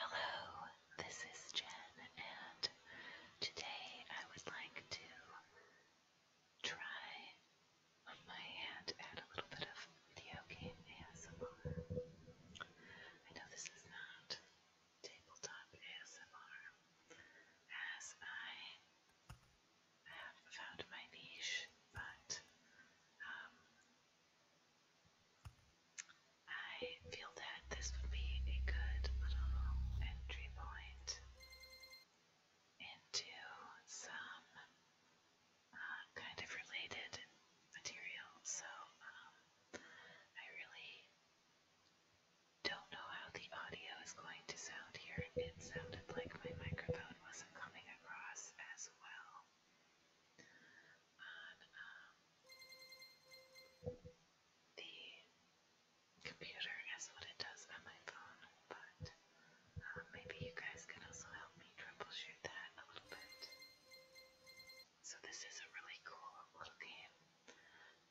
Hello, this is Jen, and today I would like to try my hand at a little bit of video game ASMR. I know this is not tabletop ASMR, as I I have found my niche, but um, I feel that this would be a good little entry point into some uh, kind of related material. So um, I really don't know how the audio is going to sound here. It sounded like my microphone wasn't coming across as well on um, the computer is what it does on my phone, but um, maybe you guys can also help me troubleshoot that a little bit. So this is a really cool little game,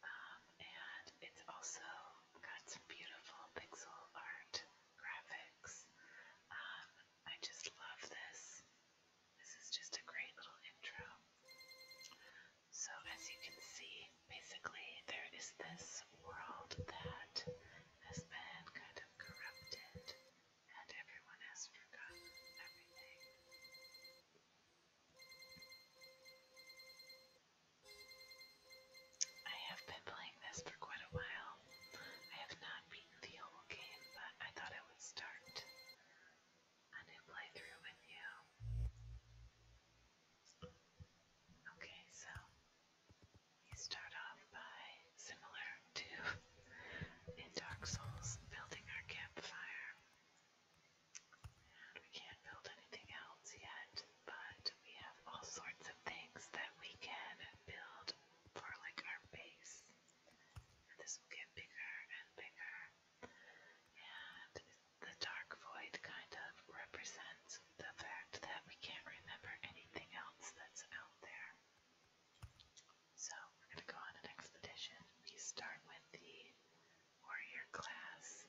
um, and it's also got some beautiful pixel art graphics. Um, I just love this. This is just a great little intro. So, as you can see, basically there is this world that has been kind of corrupted, and everyone has forgotten everything. I have been playing this for quite a while, well. I have not beaten the whole game, but I thought I would start a new playthrough with you. Okay, so we start off by, similar to in Dark Souls, building our campfire. And we can't build anything else yet, but we have all sorts of things that we can build for like our base. And this will get bigger and bigger. And the dark void kind of represents the fact that we can't remember anything else that's out there. So we're going to go on an expedition. We start with the warrior class.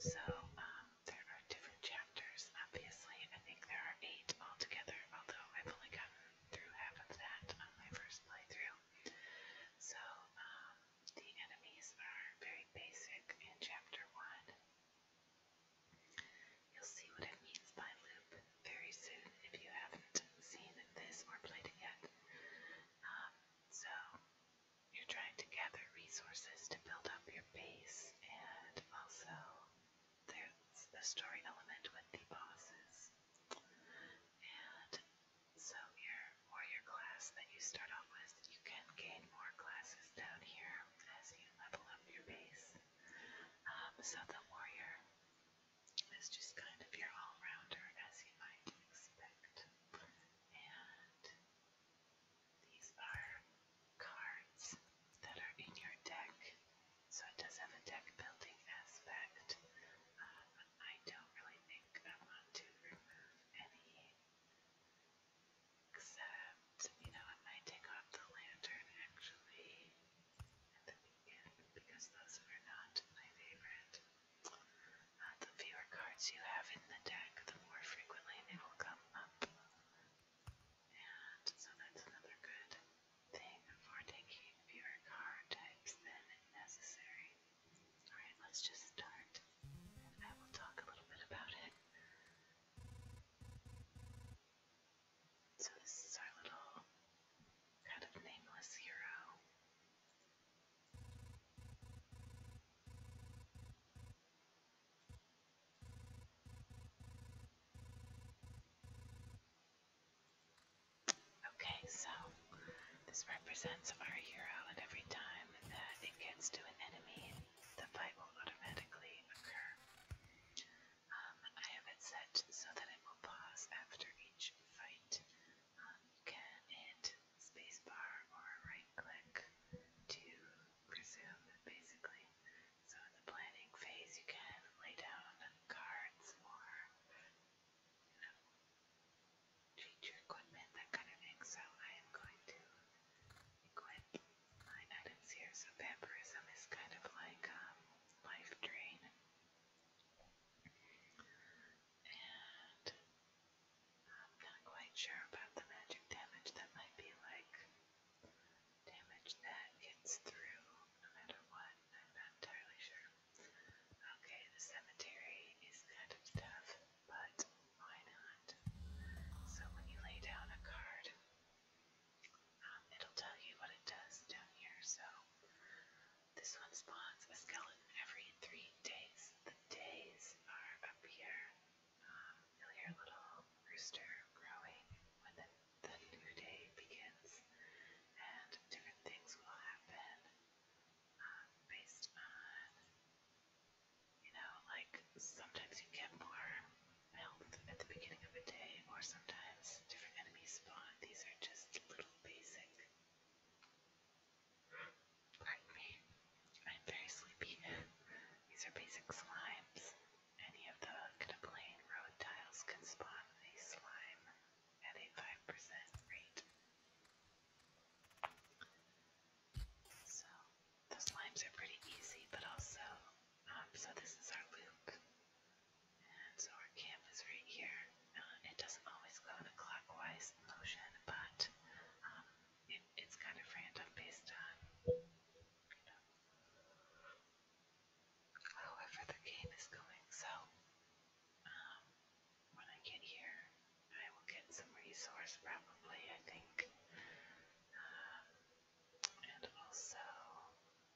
So um, there are different chapters chapters, obviously. I think there are eight altogether, although I've only gotten through half of that on my first playthrough. So, um, the enemies are very basic in chapter one. You'll see what it means by loop very soon if you haven't seen this or played it yet. Um, so, you're trying to gather resources to build up your base and also there's a story element with the bosses. And so your warrior class that you start off with, you can gain more classes down here as you level up your base. Um, so the warrior is just kind of your all-rounder as you might expect. And these are cards that are in your deck. So it does have a deck building aspect. Um, I don't really think I want to remove any, except, you know, I might take off the lantern actually at the beginning because those were not my favorite. Uh, the fewer cards you have in the deck, the more frequently they will come up. And so that's another good thing for taking fewer car types than necessary. Alright, let's just start. I will talk a little bit about it. So this is our little kind of nameless hero. Okay, so this represents our hero, and every time that it gets to an enemy, the fight will automatically occur. Um, I have it set so that it will pause after each fight. you um, can hit spacebar or right click to resume, basically. So in the planning phase, you can lay down cards or, you know, cheat your equipment, that kind of thing. So I am going to equip my items here. So vampirism is kind of like um, life drain. And I'm not quite sure about the magic damage. That might be like damage that gets through no matter what. I'm not entirely sure. Okay, the cemetery is kind of tough, but why not? So when you lay down a card, um, it'll tell you what it does down here. So this one spawns a skeleton every three days. The days are up here. Um, you'll hear a little rooster growing with a the new day begins, and different things will happen um, based on, you know, like sometimes you get more health at the beginning of a day, or sometimes different enemies spawn. These are just little basic. Pardon me, I'm very sleepy. These are basic slimes. Any of the kind of plain road tiles can spawn a slime at a 5% rate. So, the slimes are pretty easy, but also, um, so this is our loop. And so our camp is right here. Uh, it doesn't always go in a clockwise motion, but um, it's kind of random based on However, the game is going, so um, when I get here, I will get some resource probably, I think. Um, and also,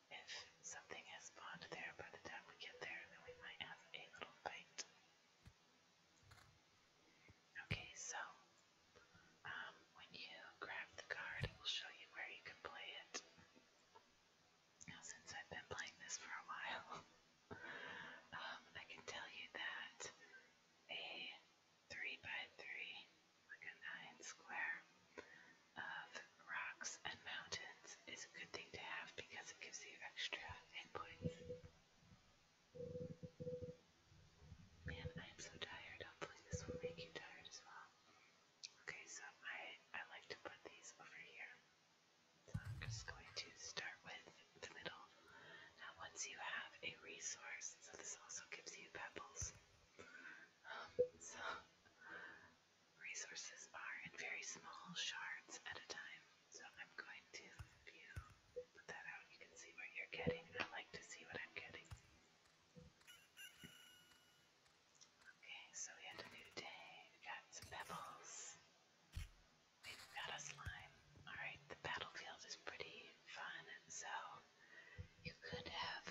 if something has spawned there by the time we get there, then we might have a little fight. Okay, so um, when you grab the card, it will show you where you can play it. Now, since I've been playing this for a while, um, I can tell you that a 3 by 3 like a 9 square of rocks and mountains is a good thing to have because it gives you extra hit points. Man, I am so tired. Hopefully this will make you tired as well. Okay, so I, I like to put these over here. So I'm just going to start with the middle. Now once you have a resource, so this also gives you pebbles. Um, so resources are in very small shards at a time. So I'm going to, put that out, you can see what you're getting. I like to see what I'm getting. Okay, so we had a new day. We got some pebbles. We've got a slime. Alright, the battlefield is pretty fun, so you could have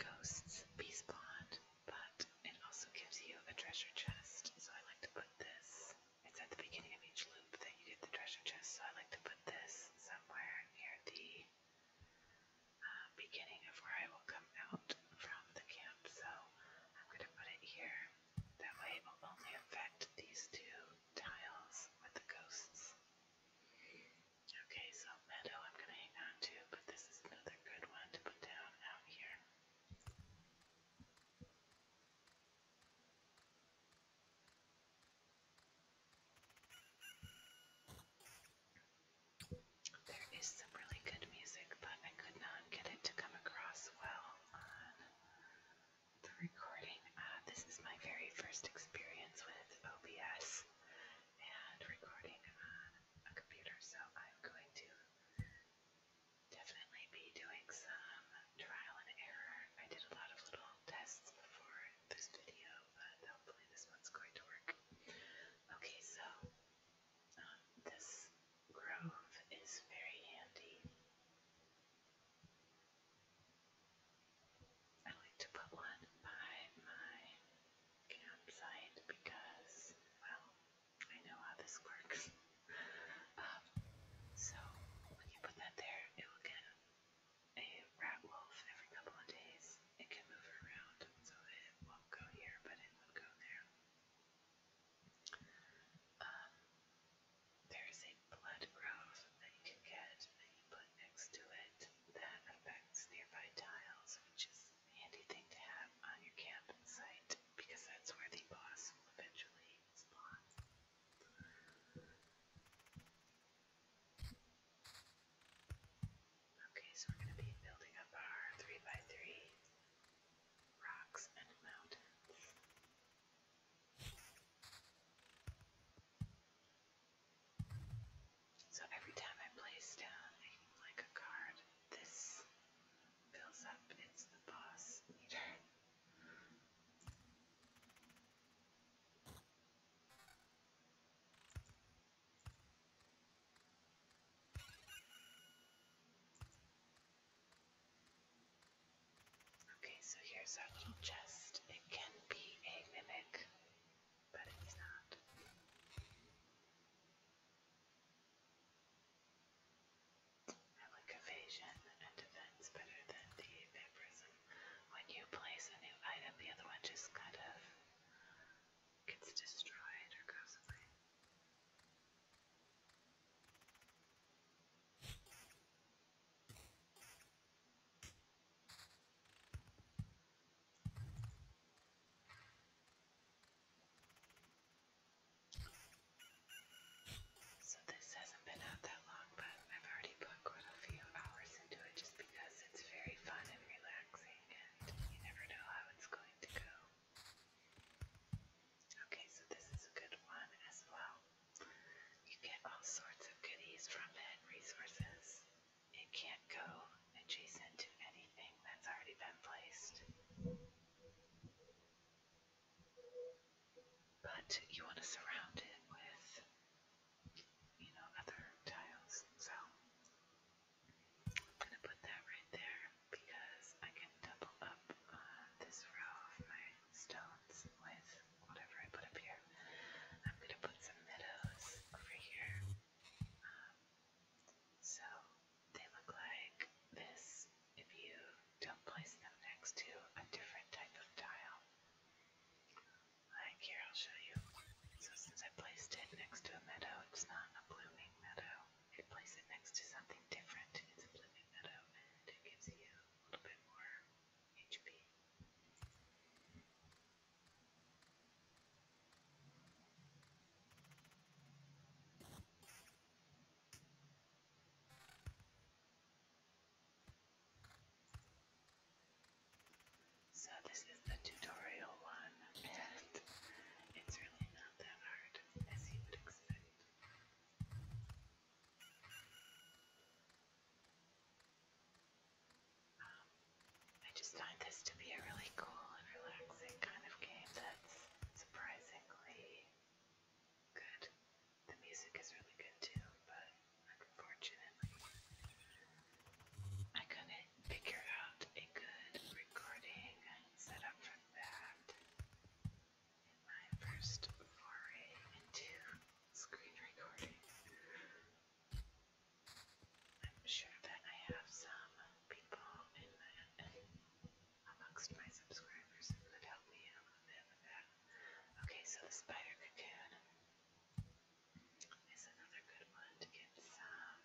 ghosts be spawned, but it also gives you a treasure chest. So I like to put this. It's at the beginning of each loop that you get the treasure chest, so I like to put this somewhere near the uh, beginning of where I will come out from the camp, so I'm going to put it here. That way it will only affect these two tiles with the ghosts. Okay, so meadow I'm going to hang on but this is another good one to put down out here. There is some really good music, but I could not get it to come across well on the recording. Uh, this is my very first experience with OBS and recording on a computer, so I'm going to definitely be doing some trial and error. I did a lot of little tests before this video, but hopefully this one's going to work. Okay, so um, this grove is very handy. I like to put one by my campsite because, well, I know how this works. Um, so when you put that there, it will get a rat wolf every couple of days. It can move around so that it won't go here, but it would go there. Um, there's a blood growth that you can get that you put next to it that affects nearby tiles, which is a handy thing to have on your campsite because that's where the boss will eventually spawn. Okay, so we're going to be building up our 3 by 3 rocks and mountains. So every time I place down like a card, this builds up. It's the boss meter. Okay, so here's our little chest. It can be a mimic, but it's not. I like evasion and defense better than the vampirism when you place a new item, the other one just kind of gets destroyed or goes away. So this hasn't been out that long, but I've already put quite a few hours into it just because it's very fun and relaxing and you never know how it's going to go. Okay, so this is a good one as well. You get all sorts of goodies from it, resources. It can't go adjacent to anything that's already been placed but you want to surround it with, you know, other tiles. So I'm going to put that right there because I can double up on this row of my stones with whatever I put up here. I'm going to put some meadows over here. Um, so they look like this if you don't place them next to a different type of tile. Like here, I'll show you. So since I placed it next to a meadow, it's not a blooming meadow. If place it next to something different, it's a blooming meadow, and it gives you a little bit more HP. So this is the tutorial one, and it's really not that hard, as you would expect. Um, I just find this to be a really cool and relaxing kind of game that's surprisingly good. The music is really good too, but unfortunately, I couldn't figure out a good recording setup for that in my first foray into screen recording. I'm sure that I have some people in amongst my subscribers who could help me out a bit with that. Okay, so the spider cocoon is another good one to get some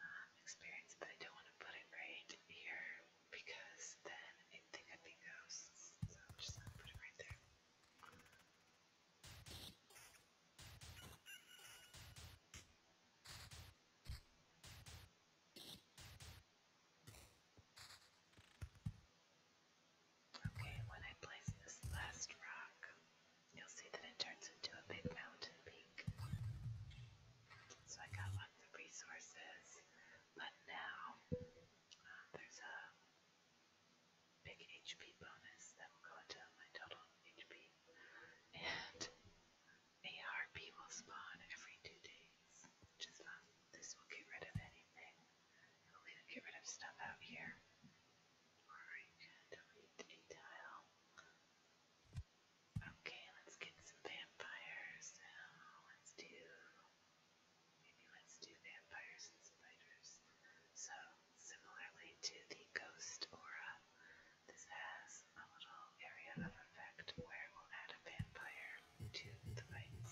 um, experience, but I don't want to put it right here because then it, they could be ghosts. So I'm just going to it right there. Okay, when I place this last rock, you'll see that it turns into a big mountain peak. So I got lots of resources, but now um, there's a big HP bonus that will go into my total HP, and ARP will spawn every two days, which is fun. This will get rid of anything I'll get rid of stuff out here, or delete a Okay, let's get some vampires Let's do. Maybe let's do vampires and spiders. So, similarly to the ghost aura, this has a little area of effect where we'll add a vampire into the veins.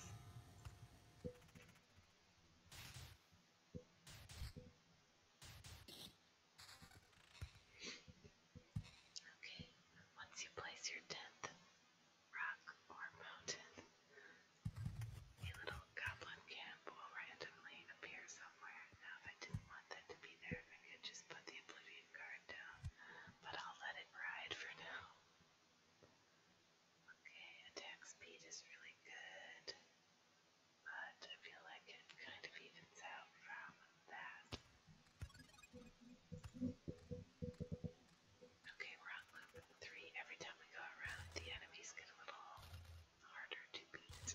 Okay, once you place your tenth rock or mountain, a little goblin camp will randomly appear somewhere. Now, if I didn't want that to be there, I'd just put the Oblivion card down, but I'll let it ride for now. Okay, attack speed is really good, but I feel like it kind of evens out from that. Okay, we're on loop three. Every time we go around, the enemies get a little harder to beat.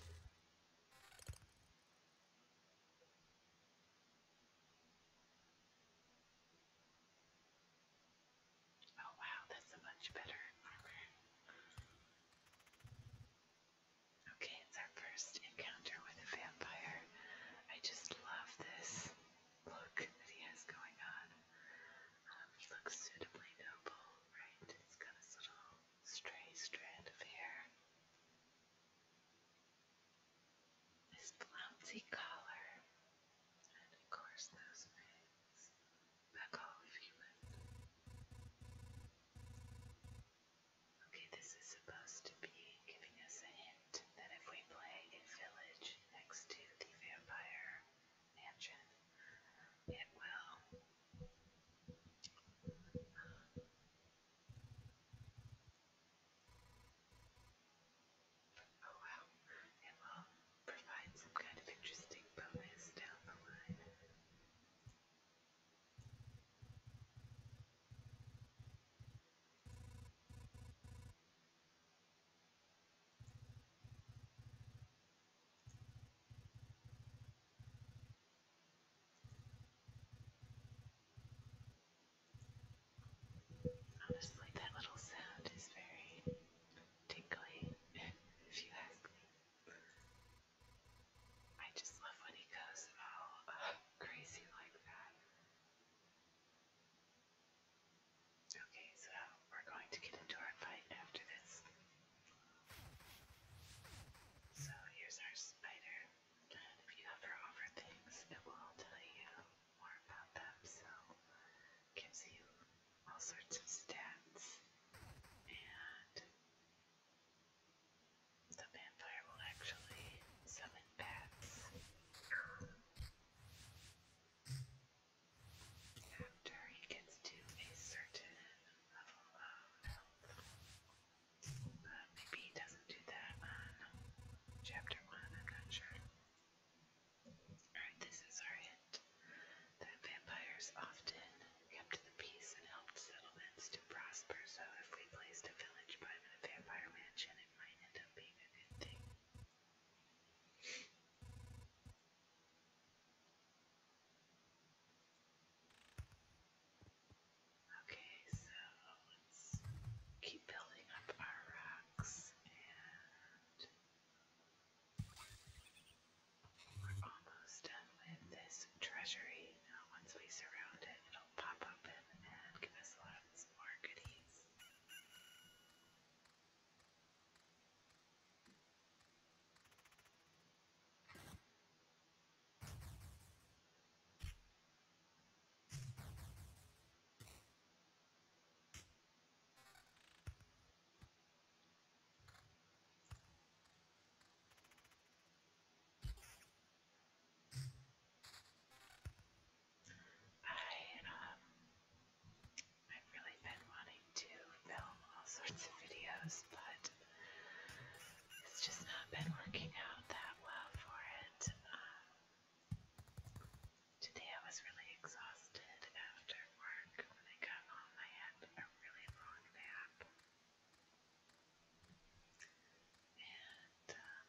Oh wow, that's a much better armor. Okay, it's our first encounter with a vampire. I just love this look that he has going on. Um, he looks suitably noble, right? He's got his little stray strand of hair. This flouncy collar and of course those pigs back off human. Okay, this is supposed to be giving us a hint that if we play a village next to the vampire mansion, it will Oh well, it will provide some kind of interesting bonus down the line. Honestly, that little sound is very tickly, if you ask me. I just love when he goes all uh, crazy like that. Okay, so we're going to get into our fight after this. So here's our spider, and if you hover over things, it will tell you more about them, so gives you all sorts of stats. And the vampire will actually summon bats after he gets to a certain level of health. But maybe he doesn't do that chapter one, I'm not sure. Alright, this is our hint. The vampires often kept the peace and helped settlements to prosper, so if we placed a village by the vampire mansion, it might end up being a good thing. Okay, so let's keep building up our rocks and we're almost done with this treasury. Now, once we surround it, it'll pop open and give us lots more goodies. I um I've really been wanting to film all sorts of videos, but it's just not been working out that well for it. Um, Today I was really exhausted after work I got home. I had a really long nap. And um,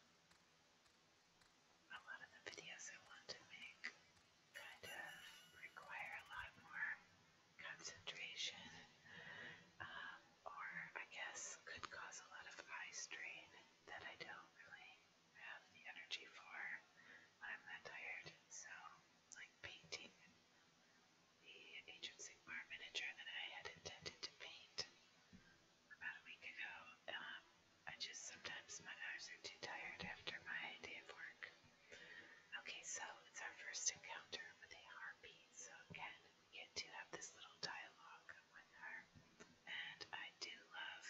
a lot of the videos I want to make kind of require a lot more concentration, um, or I guess could cause a lot of eye strain that I don't really have the energy for when I'm that tired. So, like painting, the Age of Sigmar miniature that I had intended to paint about a week ago, um, I just sometimes my eyes are too tired after my day of work. Okay, so it's our first encounter with a harpy, so again, we get to have this little dialogue with her, and I do love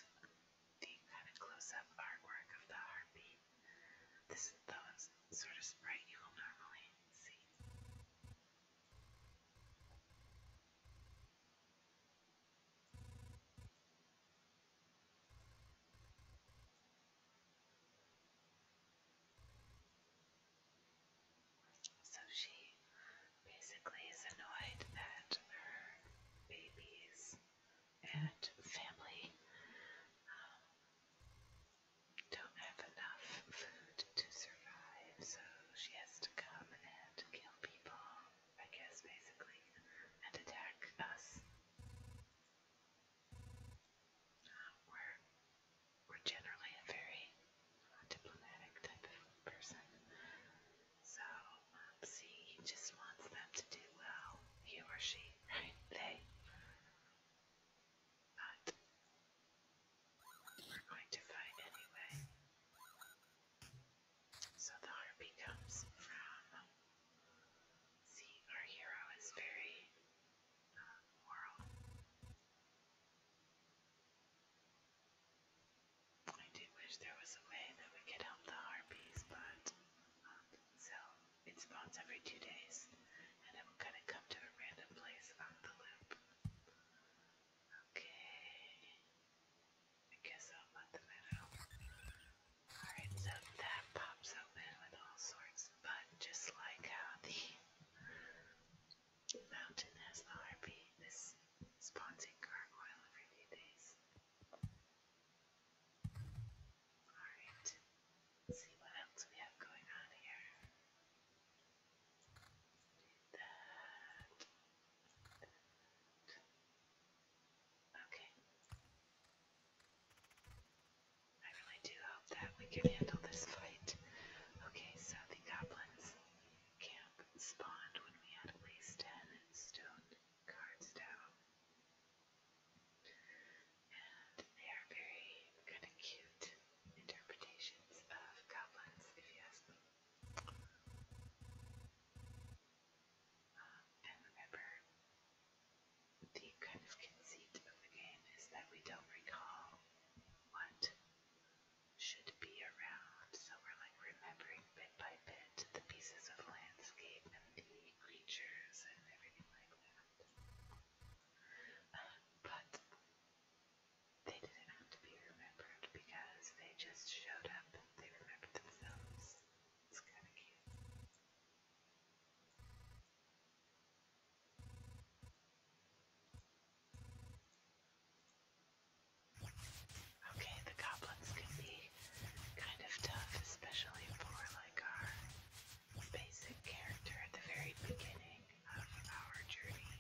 being that a close-up artwork of the heartbeat. This is sort of sprite you will normally see. So she basically is annoyed that her babies and family um, don't have enough food to survive, so she has to come and kill people, I guess, basically, and attack us. Uh, we're, we're generally a very diplomatic type of person, so um, see, he just wants them to do well. He or she, right? They. But we're going to fight anyway. So the harpy comes from. See, our hero is very uh, moral. I do wish there was a way that we could help the harpies, but um, so it spawns every two days, and it will kind of come to a random place on the loop. Okay, I guess I'll let them in. Alright, so that pops open with all sorts, but just like how the mountain has the harpy, this spawns a gargoyle every few days. Alright, see what else we have going on here. Okay. I really do hope that we can handle this fight. Okay, so the goblins camp spawned when we had at least ten stone cards down. And they are very kind of cute interpretations of goblins, if you ask me. Um, and remember, the kind of conceit of the game is that we don't recall what should be around, so we're like, going remembering bit by bit the pieces of landscape and the creatures and everything like that. Uh, but they didn't have to be remembered because they just showed up and they remembered themselves. It's kind of cute. Okay, the goblins can be kind of tough, especially for like our basic character at the very beginning of our journey.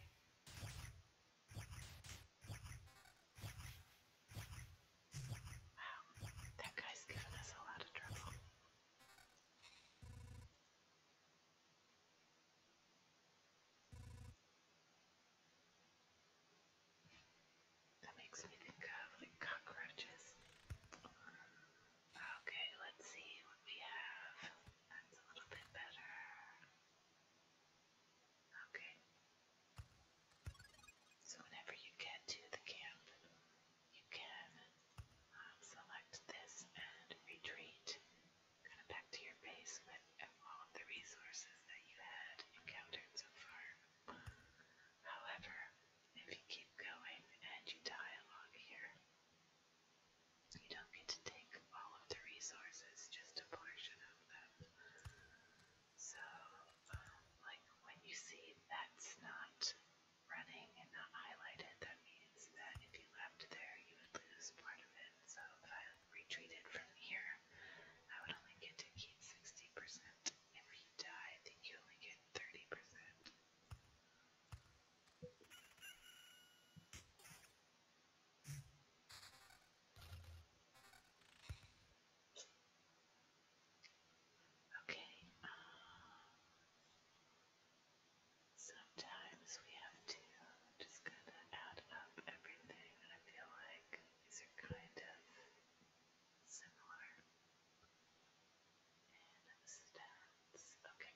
Wow, that guy's given us a lot of trouble. That makes me think of like cockroaches. Okay, let's see what we have. That's a little bit better. Okay. So, whenever you get to the camp, you can um, select this and retreat kind of back to your base at, at all of the resources that you had encountered so far. However, if you keep going and you die along here, you don't get to take all of the resources, just a portion of them. So, um, like when you see that's not running and not highlighted, that means that if you left there, you would lose part of it. So if I retreated from here, I would only get to keep 60%. And you die, you only get 30%. Okay, um, sometimes we have to just kind of add up everything, and I feel like these are kind of similar Okay.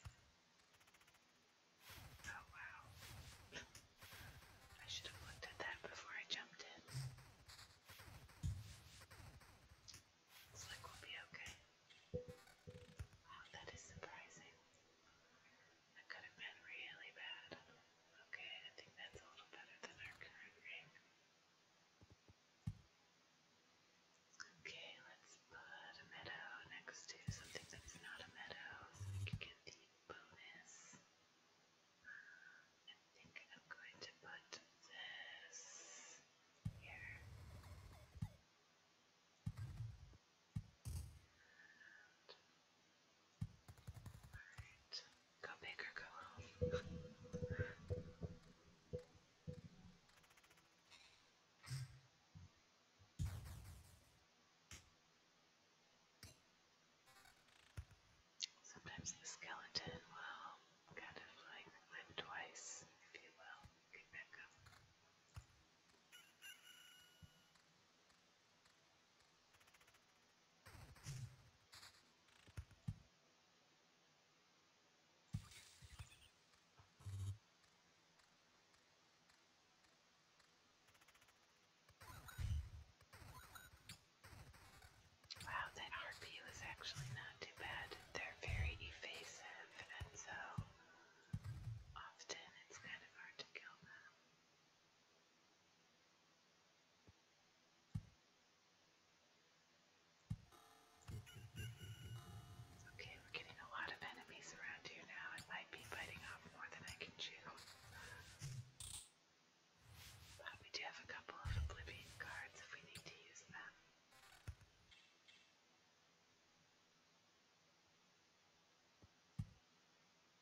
Oh wow. I should have looked at that before I jumped in. Looks like we'll be okay. Wow, that is surprising. That could have been really bad. Okay, I think that's a little better than our current ring. Okay, let's put a meadow next to something that's not a meadow so we can get the bonus. I think I'm going to put this here. Go big or go home. Sometimes the skeleton will kind of like live twice, if you will, get back up. Wow, the RP was actually not too bad. They're very evasive, and so often it's kind of hard to kill them. Okay, we're getting a lot of enemies around here now. It might be biting off more than I can chew. But we do have a couple of Oblivion cards if we need to use them.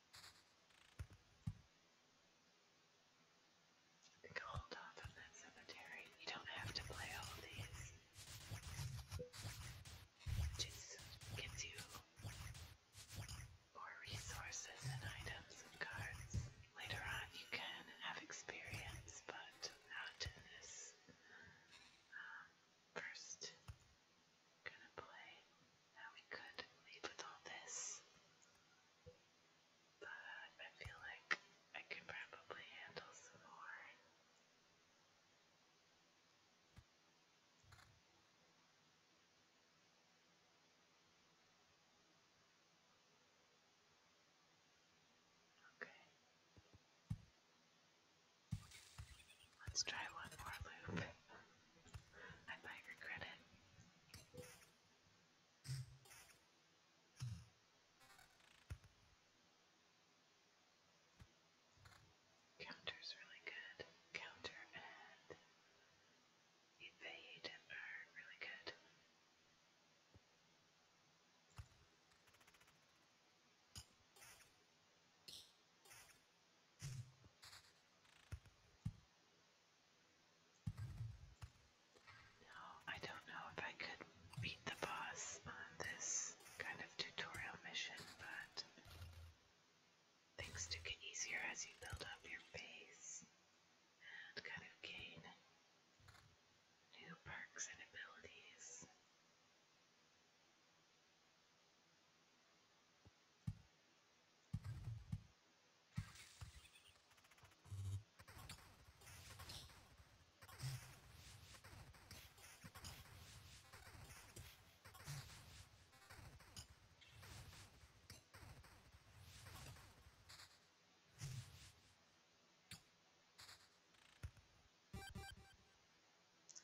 I think I'll hold off on that cemetery. You don't have to play all of these. It just gives you more resources and items and cards. Later on you can have experience, but not in this um, first gonna play. Now we could leave with all this, but I feel like I could probably handle some more. Okay. Let's try one more loop. Hmm. I might regret it. Counter's really good. Counter and evade are really good. Now, I don't know if I could beat the boss on this kind of tutorial mission, but things do get easier as you build up your base and kind of gain new perks and abilities.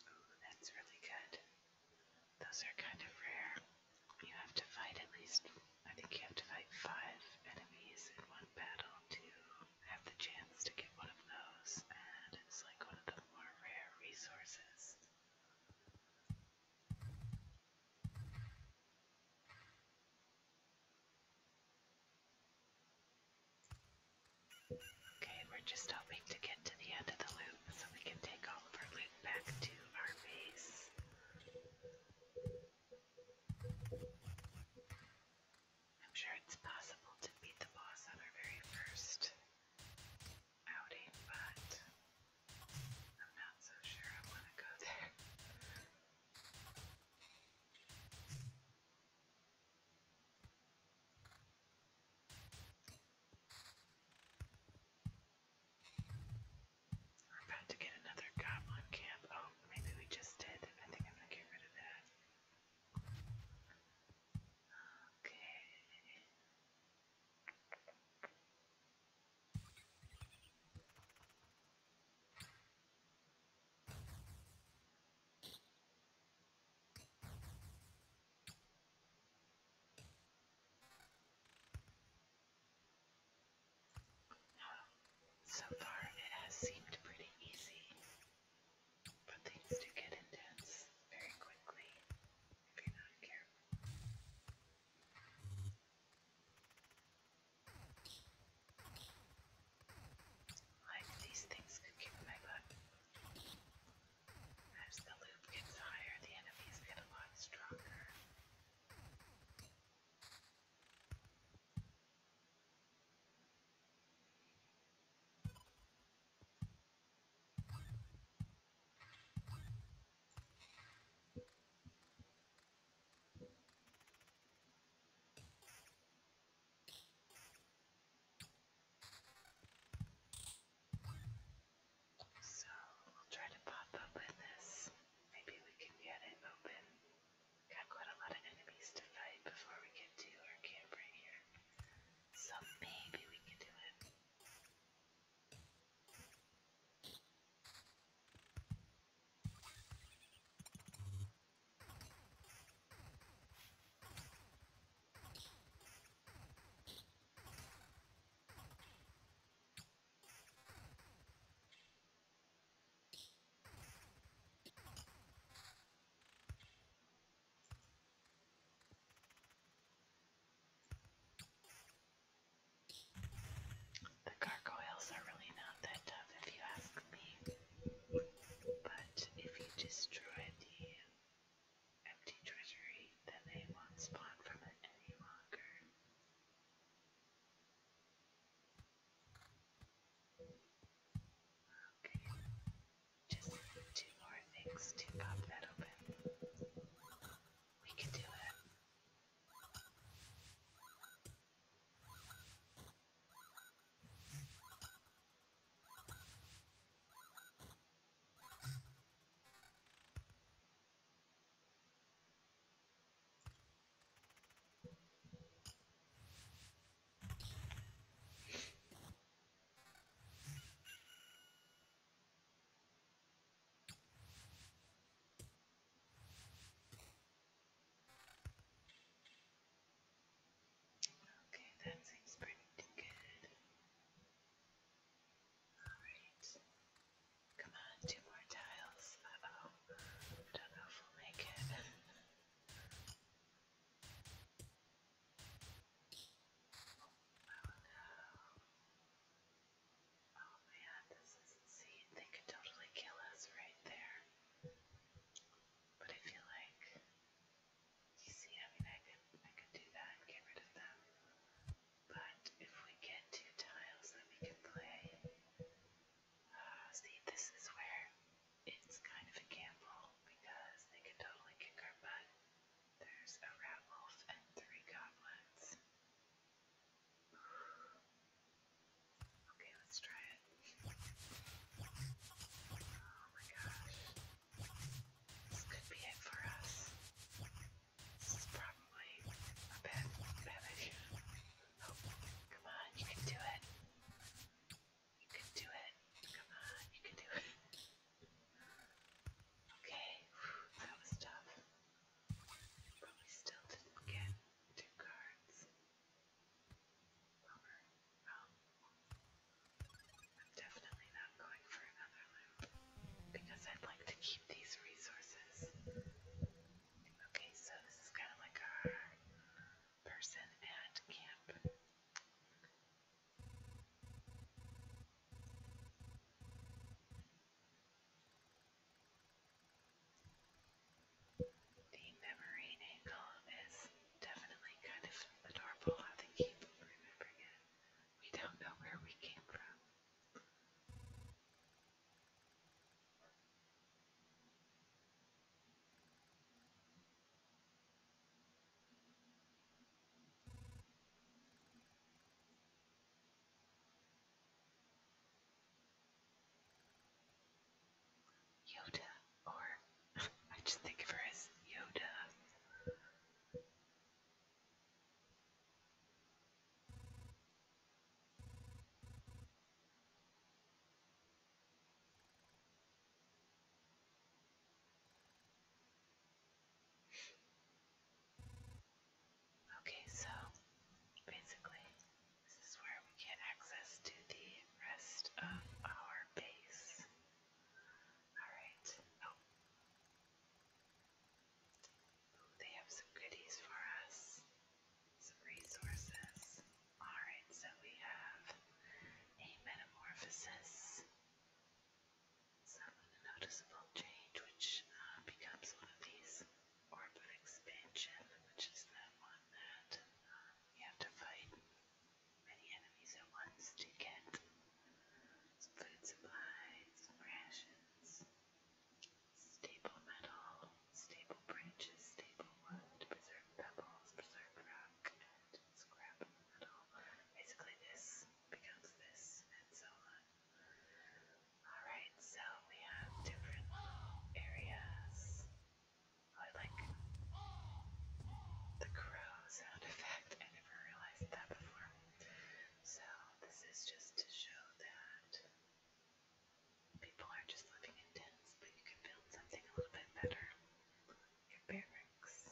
Ooh, that's really good. Those are kind of rare. You have to fight at least, I think you have to fight five enemies in one battle to have the chance to get one of those, and it's like one of the more rare resources. Okay, we're just hoping to get to the end of the loop so we can take all of our loot back to our base. I'm sure it's possible to beat the boss on our very first outing, but I'm not so sure I want to go there. We're about to get another goblin camp. Oh, maybe we just did. I think I'm gonna get rid of that. Okay. Now, so far it has seemed pretty easy, but things do get intense very quickly if you're not careful. Like these things could kick my butt. As the loop gets higher, the enemies get a lot stronger. So we'll try to pop open this. Maybe we can get it open. Got quite a lot of enemies to fight before we get to our camp right here. So maybe we can do it. The gargoyles are really not that tough if you ask me. But if you destroy the empty treasury than they once bought from it any longer. Okay, just two more things to pop that open. We can do it. Okay, that seems pretty good. Alright. Come on, two more tiles. Uh oh. I don't know if we'll make it. oh no. Oh man, this is insane. They could totally kill us right there. But I feel like you see, I mean, I could, I could do that and get rid of them. But if we get two tiles, then we can play. Uh, see, this is where it's kind of a gamble because they can totally kick our butt. There's a rat wolf and three goblins. Okay, let's try it. Oh my gosh. This could be it for us. This is probably a bad, bad idea. Oh, come on, you can do it. You can do it. Come on, you can do it. Okay, that was tough. But we still didn't get two cards. Oh, I'm definitely not going for another loop because I'd like to keep these resources. Okay, so this is kind of like our person at camp. The memory angle is definitely kind of adorable how they keep remembering it. We don't know where we came from. Yoda, or I just think of her as Yoda. Okay, so basically, this is where we get access to the rest of our base. Alright. Oh, they have some goodies for us, some resources. Alright, so we have a metamorphosis, some noticeable change, which uh, becomes one of these orb expansion, which is that one that uh, have to fight many enemies at once to get some food supplies, some rations, staple metal, staple branches, staple wood, preserved pebbles, preserved rock, and scrap metal. Basically, this becomes this, and so on. Alright, so we have different little areas. Oh, I like the crow sound effect. I never realized that before. So, this is just to show that people are just living in tents, but you can build something a little bit better. Your barracks.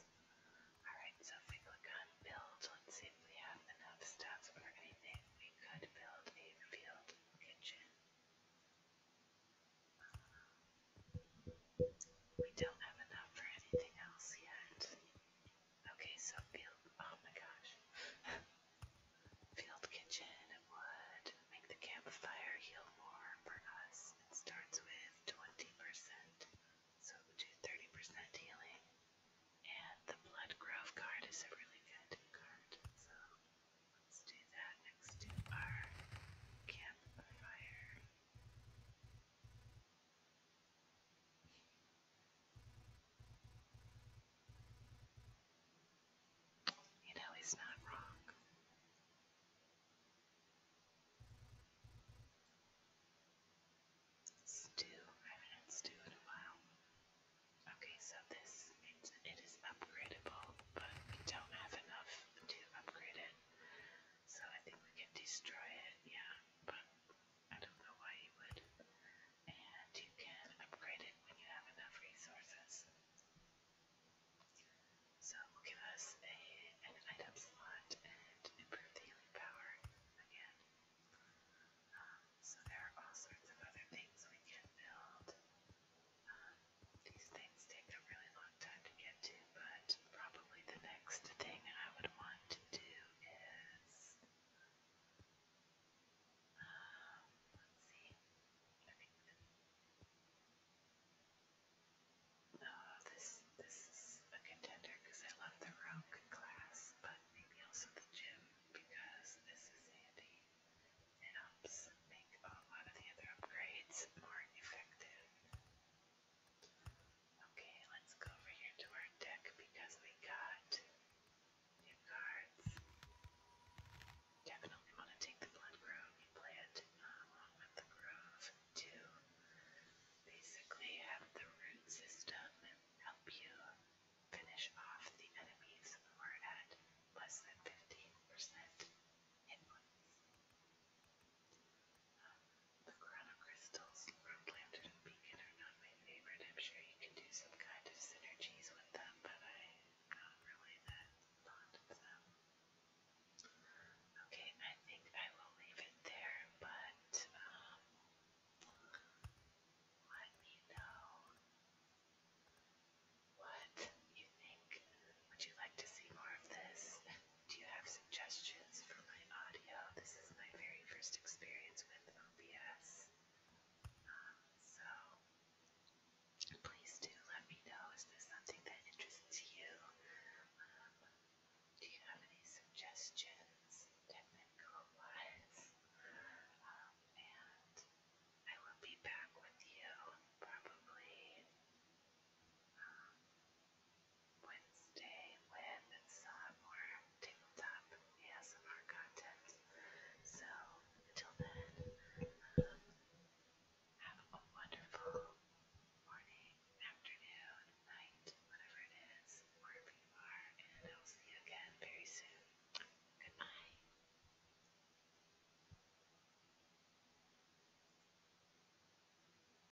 Alright, so if we click on build, let's see if we have enough stuff for anything. We could build a field kitchen. Uh, we don't have enough for anything else yet. Okay, so field. Oh my gosh. field kitchen, wood, make the campfire heal more for us. It starts with 20%, so we do 30% healing. And the blood grove card is a really good card, so let's do that next to our campfire. You know, he's not wrong. Stew. I haven't had in a while. Okay, so this it's, it is upgradable, but we don't have enough to upgrade it. So I think we can destroy it. Yeah but I don't know why you would. And you can upgrade it when you have enough resources. So we'll give us a, an item slot and improve the healing power again. Um, so there are all sorts of other things we can build. Um, these things take a really long time to get to, but probably the next thing I would want to do is. Um, let's see. I think that, no, this this is a contender because I love the rogue class, but maybe also the gym because this is handy. It helps make a lot of the other upgrades more effective. Okay, let's go over here to our deck because we got new cards. Definitely want to take the Blood Grove and play it uh, um, along with the Grove to basically have the root system help you finish off the enemies who are at less than 15% hit points. Um, the Corona crystals from Lambton and Beacon are not my favorite. I'm sure you can do some kind of synergies with them, but I'm not really that fond of them. Okay, I think I will leave it there, but um, let me know what you think. Would you like to see more of this? Do you have suggestions for my audio? This is my very first experience with OBS. Um, so please do let me know. Is there something that interests you? Um, do you have any suggestions, technical wise? Um, and I will be back with you probably Wednesday with uh, some more tabletop ASMR content. So until then, um, have a wonderful morning, afternoon, night, whatever it is, wherever you are, and I'll see you again very soon. Good night.